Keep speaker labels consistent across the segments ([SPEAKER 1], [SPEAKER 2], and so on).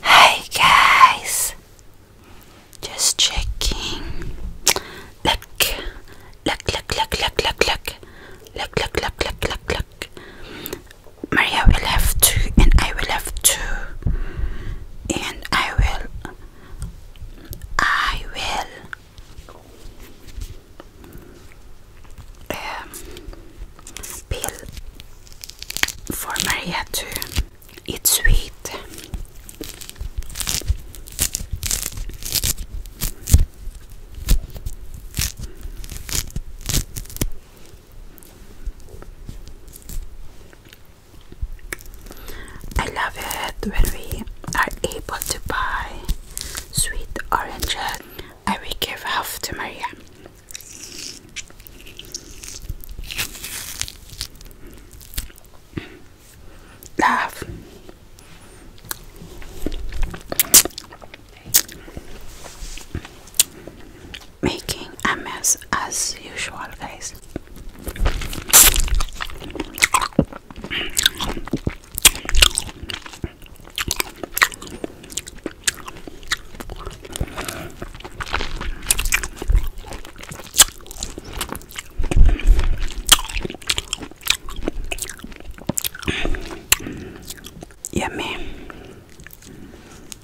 [SPEAKER 1] Hey guys, just checking. Look, look, look, look, look, look, look, look, look, look, look, look, Maria will have two, and I will have two and I will I will um, peel for Maria to eat sweet. I love it when we are able to buy sweet oranges I will give half to Maria. Love making a mess as usual, guys. Yummy.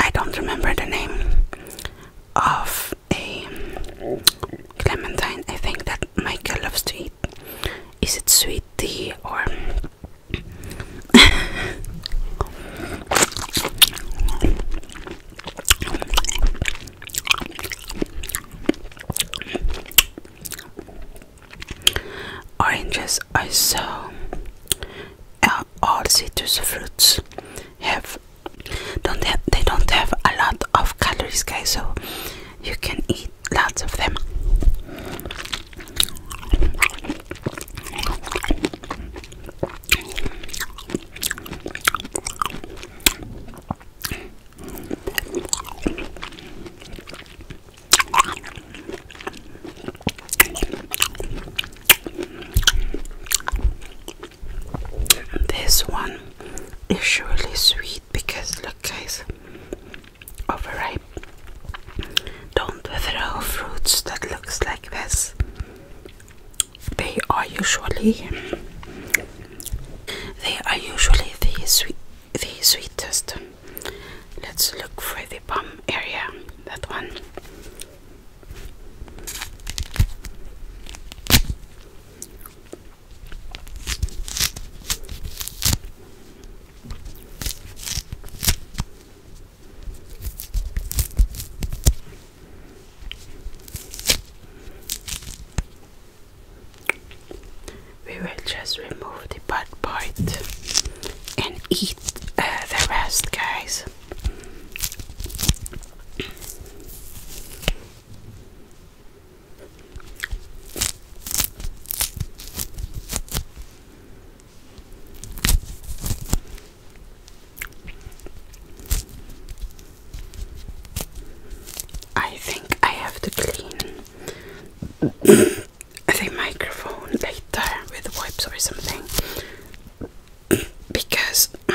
[SPEAKER 1] I don't remember the name of a clementine. I think that Michael loves to eat. Is it sweet tea or? Oranges are so all uh, citrus fruits have don't have, they don't have a lot of calories guys so you can eat lots of them this one is surely sweet because look guys overripe. Don't throw fruits that looks like this. They are usually they are usually the sweet the sweetest Let's look for the palm area. That one we will just remove the bad part and eat uh, the rest, guys. I think I have to clean I think microphone later with wipes or something because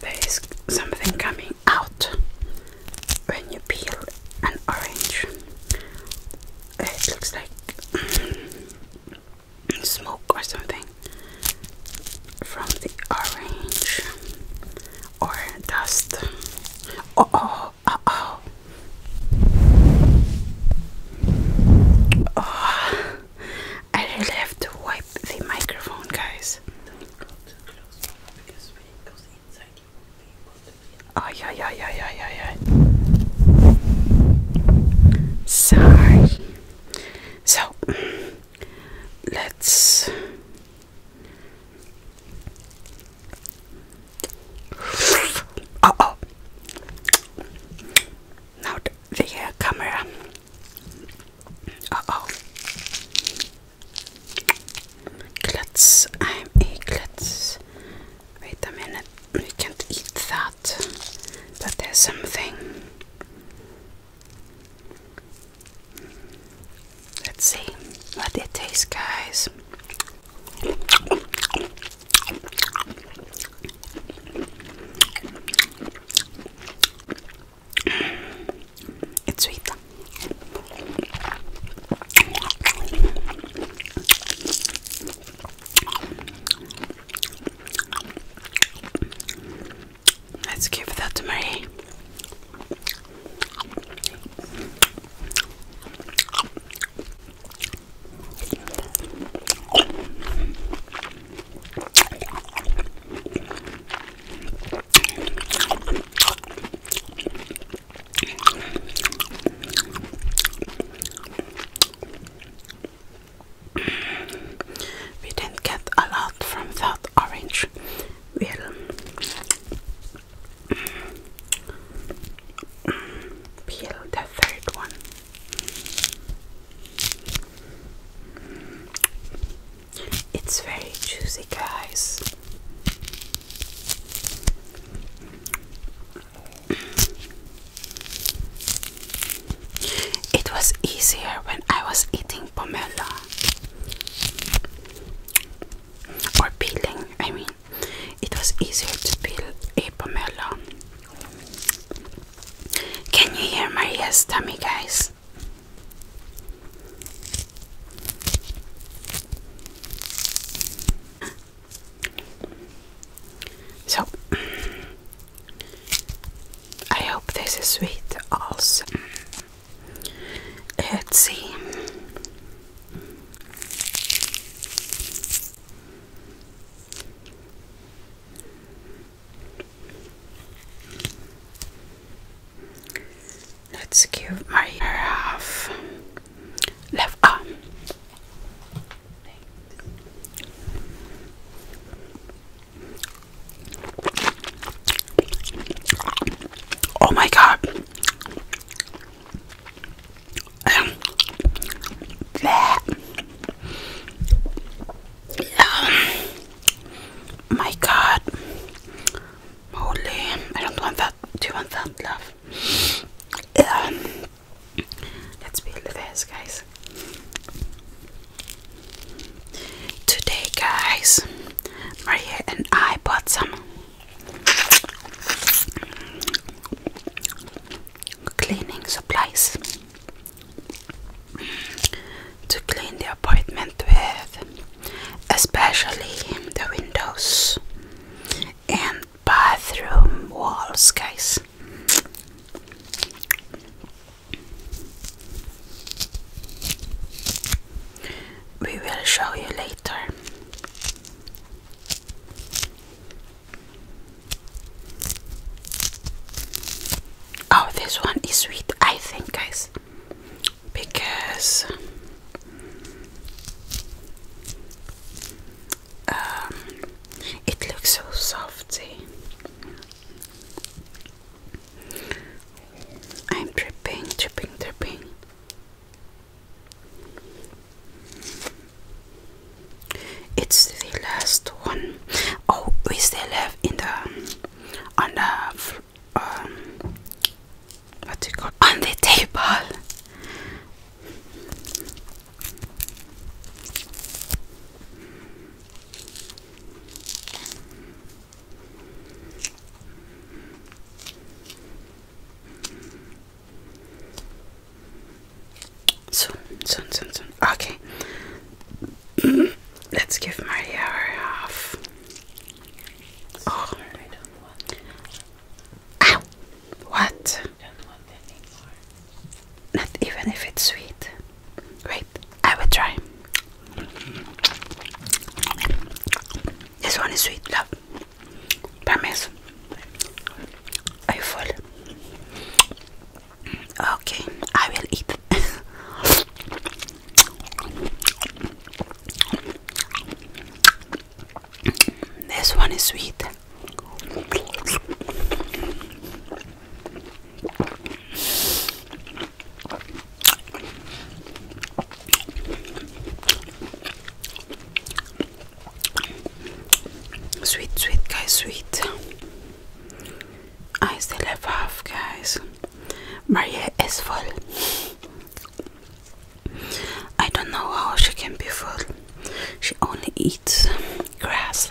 [SPEAKER 1] there is something coming out when you peel an orange. It looks like smoke or something from the orange or dust. Oh, oh, oh, oh. oh. I really have to wipe the microphone, guys. Don't go too close because when it goes inside, you won't be able to get it. Oh, yeah, yeah, yeah, yeah, yeah, yeah. Sorry. So, let's uh oh. Now the uh, camera. Uh oh. Klutz. I'm a klutz. Wait a minute. We can't eat that. But there's something. Let's see what it tastes, guys. It's sweet. Let's give that to Marie. We didn't get a lot from that orange, we will peel the third one. It's very juicy, guys. It was easier when I was eating pomelo or peeling, I mean, it was easier to peel a pomelo. Can you hear Maria's tummy, guys? So, I hope this is sweet also. Let's see. Let's give my half left arm. Oh my god. my god. Holy, I don't want that. Do you want that, love? Um, let's peel the guys. Today, guys, Maria and I bought some cleaning supplies to clean the apartment with, especially the windows and bathroom walls, guys. We will show you later. Oh, this one is sweet, I think, guys, because um, it looks so softy. I'm dripping, dripping, dripping. It's the last one. Oh, we still have in the on the um what do you call on the table. So, soon, soon, soon. Okay. Let's give my her off. Oh, What? Not even if it's sweet. Wait, I will try. This one is sweet, love. Promise. Are you full? Okay, I will eat. this one is sweet. Sweet, sweet, guys, sweet. I still have half, guys. Maria is full. I don't know how she can be full. She only eats grass.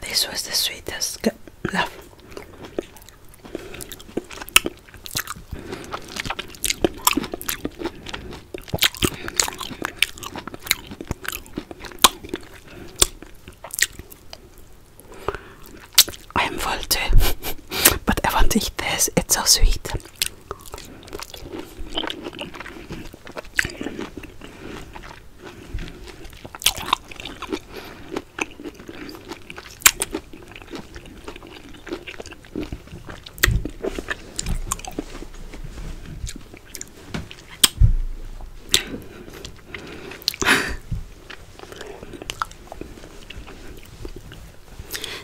[SPEAKER 1] This was the sweetest love. I am full too, but I want to eat this, it's so sweet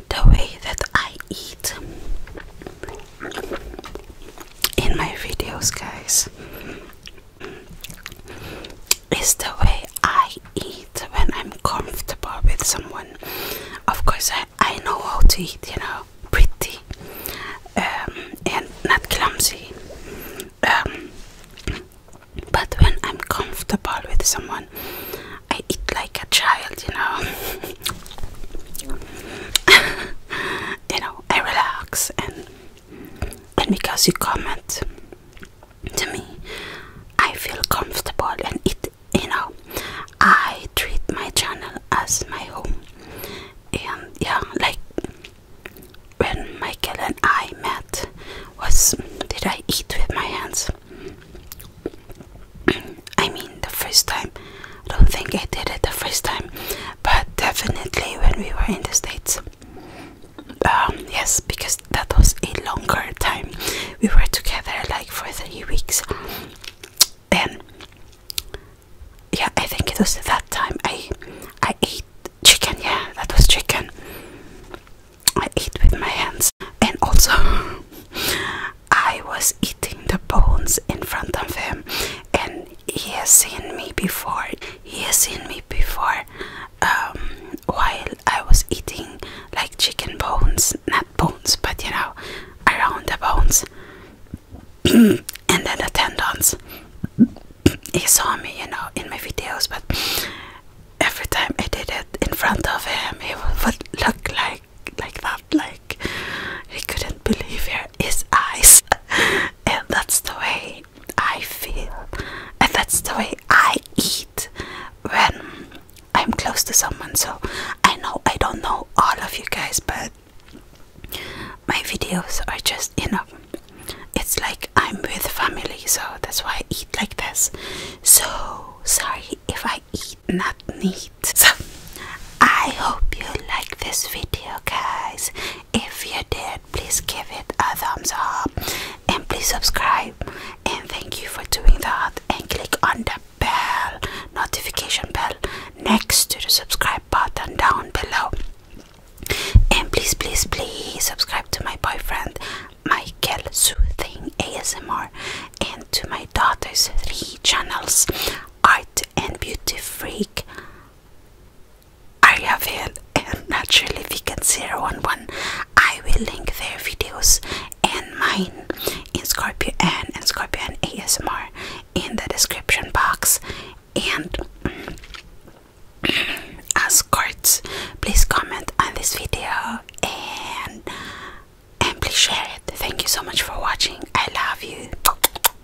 [SPEAKER 1] the way that I eat in my videos, guys, it's the way I eat when I'm comfortable with someone. Of course, I, I know how to eat, you know, pretty um, and not clumsy. Um, but when I'm comfortable with someone, I eat like a child, you know. you know, I relax and and because you comment to me, I feel comfortable and it you know I treat my channel as my home and yeah like when Michael and I met was did I eat with my hands I mean the first time I don't think I did it the first time but definitely when we were in the States um, yes, because that was a longer time. We were together like for three weeks. And yeah, I think it was that time I I ate chicken. Yeah, that was chicken. I eat with my hands, and also I was eating the bones in front of him, and he has seen me before he has seen me before um, while I was eating like chicken bones not bones but you know around the bones and then the tendons he saw me you know in my videos but every time I did it in front of him he would look like like that like he couldn't believe it is ice, and that's the way I feel, and that's the way I eat when I'm close to someone. So I know I don't know all of you guys, but my videos are just you know, it's like I'm with family, so that's why I eat like this. So sorry if I eat not neat. So I hope you like this video, guys. If you did, please give it a thumbs up and please subscribe. And thank you for doing that. And click on the bell notification bell next to the subscribe button down below. And please, please, please subscribe to my boyfriend Michael Soothing ASMR and to my daughter's three channels Art and Beauty Freak Ariaville and naturally if you get zero on one I will link their videos and mine in Scorpio and, and Scorpio and ASMR in the description box and as cards please comment on this video and and please share it thank you so much for watching I love you